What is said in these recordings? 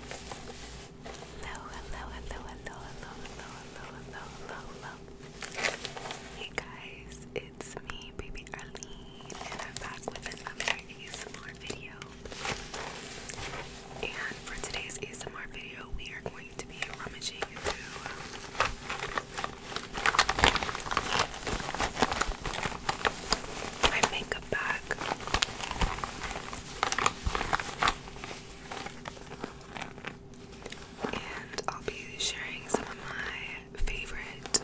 Hello, hello, hello, hello, hello, hello, hello, hello, hello, hello. Hey guys, it's me, baby Arlene, and I'm back with another ASMR video. And for today's ASMR video, we are going to be rummaging through my makeup bag. And I'll be sharing some of my favorite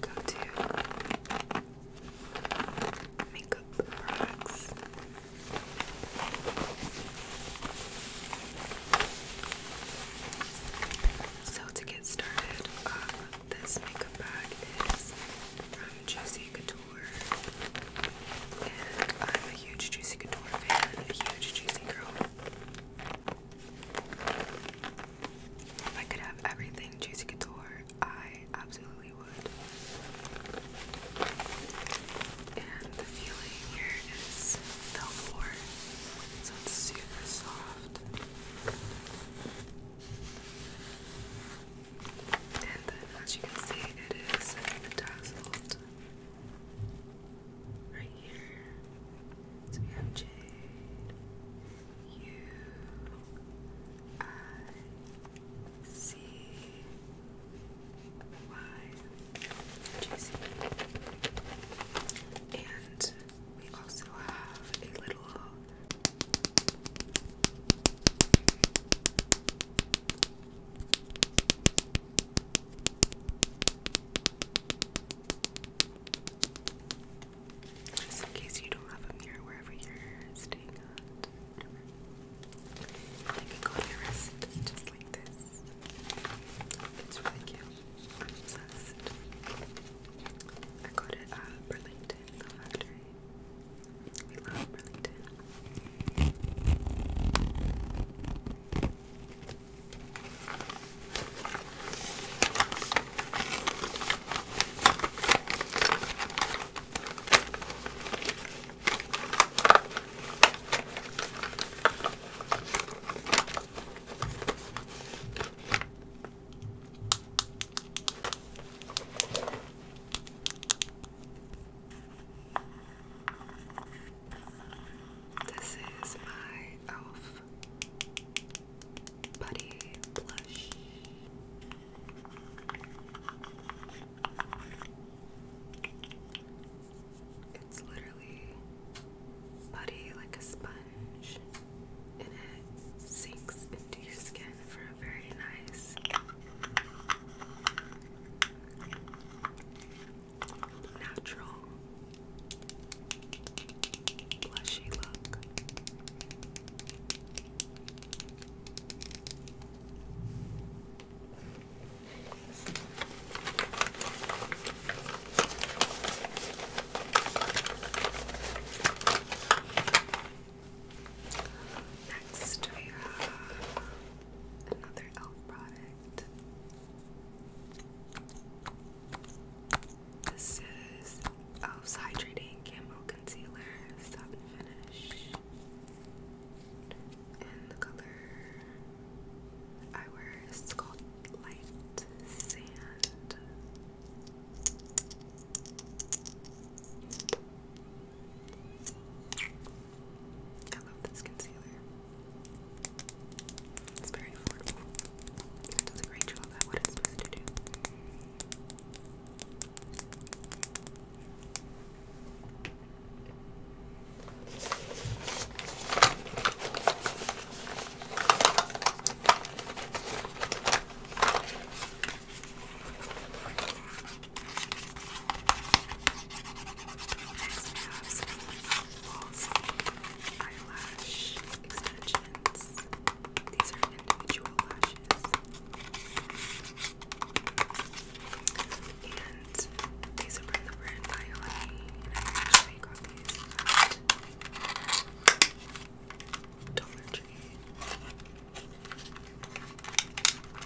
go-to makeup products. So to get started, uh, this makeup bag is from Juicy Couture and I'm a huge Juicy Couture fan, a huge Juicy girl. If I could have everything Juicy Couture, I absolutely would. And the feeling here is velvet, so it's super soft. And then, as you can see, it is bedazzled right here. So And we also have a little just in case you don't have a mirror wherever you're staying at. I can go to your wrist just like this. It's really cute. i got it at Burlington, factory. We love Burlington. This is my e.l.f. Buddy Blush. It's literally putty like a sponge and it sinks into deep skin for a very nice natural blushy look. Next, we have another e.l.f. product. This is e.l.f.'s Hydrating Camo Concealer, Stop and Finish. And the color I wear is called Light Sand. I love this concealer. It's very affordable. does a great what it's supposed to do. Next, we eyelash extensions. These are individual lashes. And these are from the brand Biolay, I actually got these at Dollar Tree.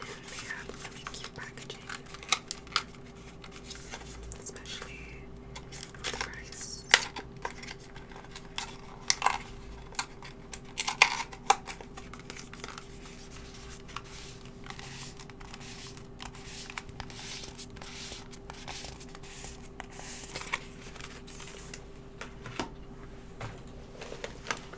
And they have really cute packaging, especially for the price.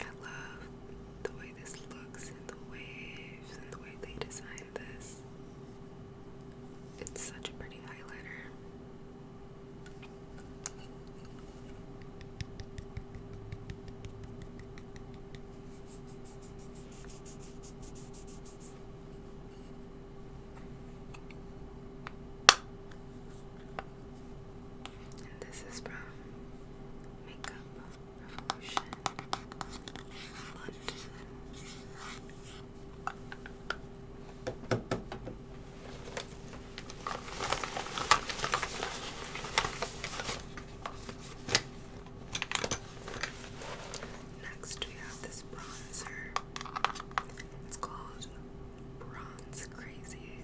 I love the way this looks and the waves and the way they designed this. It's such a pretty highlighter. And this is from Makeup Revolution Next, we have this bronzer. It's called Bronze Crazy,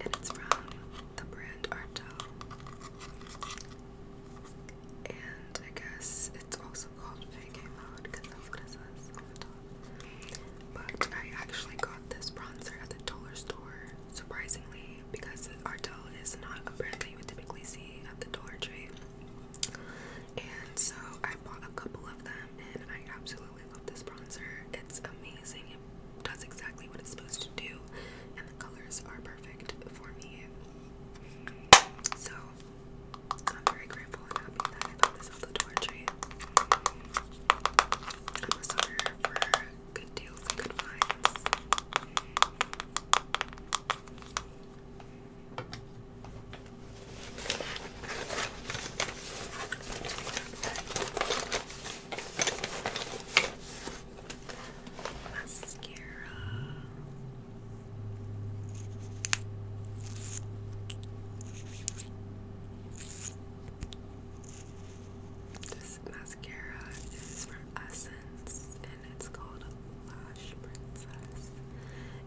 and it's from the brand Artel. And I guess it's also called Fake Mode because that's what it says on the But I actually got this bronzer at the dollar store, surprisingly, because Artel is not a brand that you would typically see at the Dollar Tree and so I bought a couple of them and I absolutely love this bronzer. It's amazing. It does exactly what it's supposed to do and the colors are perfect for me. So I'm very grateful and happy that I got this off the door tree. I'm a sucker for good deals and good finds. Mascara. This mascara is from Essence and it's called Lash Princess.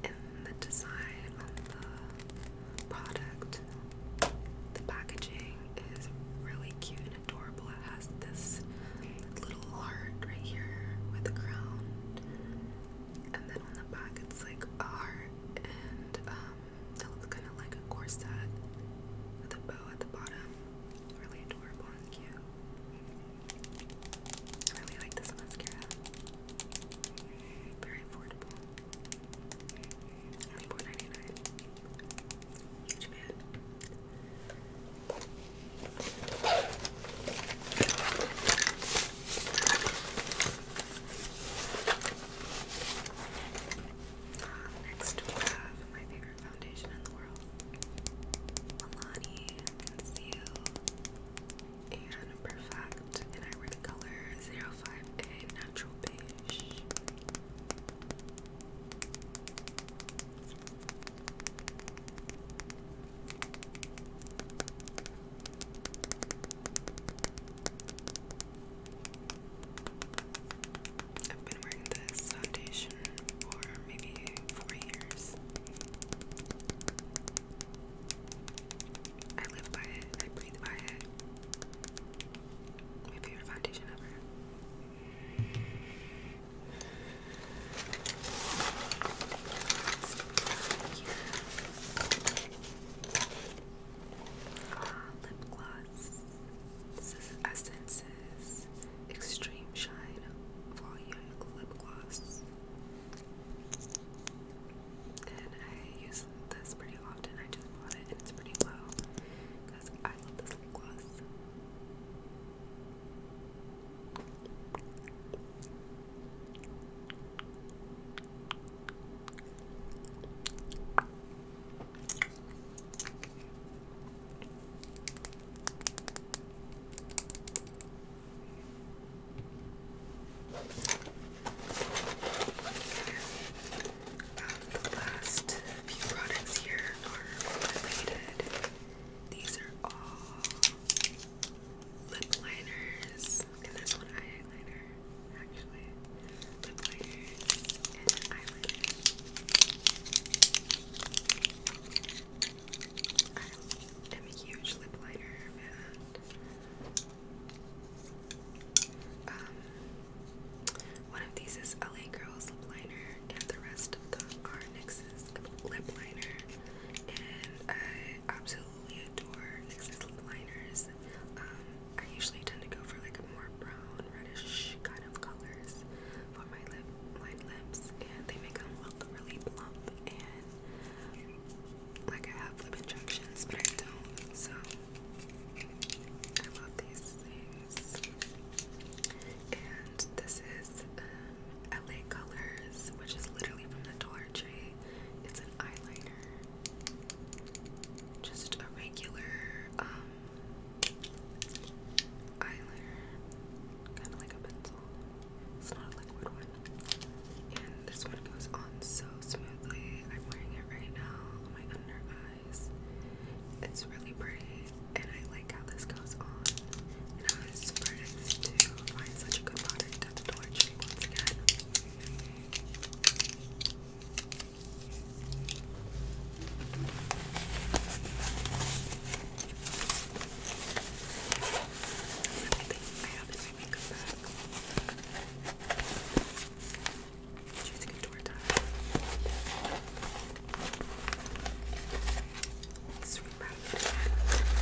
And the design on the product. The packaging is really cute and adorable. It has this little heart right here with a crown, and then on the back it's like a and it um, looks kind of like a corset with a bow at the bottom. Really adorable and cute. I really like this mascara. Very affordable. Only Huge man. Next we have my favorite foundation in the world. Milani Conceal and Perfect, and I wear the color 05A Natural Beige. I've been wearing this foundation for maybe four years. I live by it. I breathe by it. My favorite foundation ever. lip gloss. This is Essence's Extreme Shine Volume Lip Gloss and I use this pretty often. I just bought it, and it's pretty low because I love this gloss the last few products here are related. These are all lip liners, and there's one eyeliner actually. Lip liners and eyeliner. I am a huge lip liner fan. Um, one of these is LA Girls lip liner, and the rest of them are NYX's lip liner. And I absolutely adore NYX's lip liners. Um, I usually tend to go for like a more brown, reddish kind of colors for my lip, my lips, and they make them look really plump like I have lip injections, but I don't. So I love these things. And this is um, LA Colors, which is literally from the Dollar Tree. It's an eyeliner. Just a regular um, eyeliner. Kind of like a pencil. It's not a liquid one and this one goes on so smoothly. I'm wearing it right now on my under eyes. It's really pretty, and I like how this goes on. And I was surprised to find such a good product at the Dollar Tree once again. I I haven't let me go back. I'm using a door tile. Let's rewrite it again. Okay.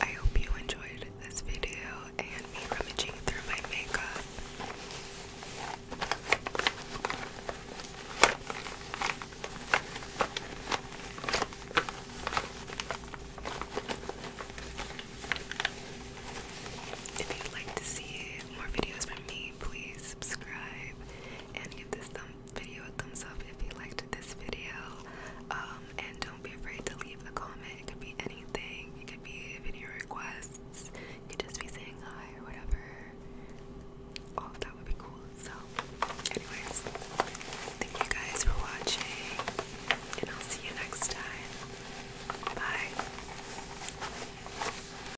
I hope you enjoyed this video and me rummaging through my makeup. If you'd like to see more videos from me, please subscribe and give this video a thumbs up if you liked this video. Um, and don't be afraid to leave a comment. It could be anything. It could be video requests. You could just be saying hi or whatever. Oh, that would be cool. So, anyways, thank you guys for watching, and I'll see you next time. Bye.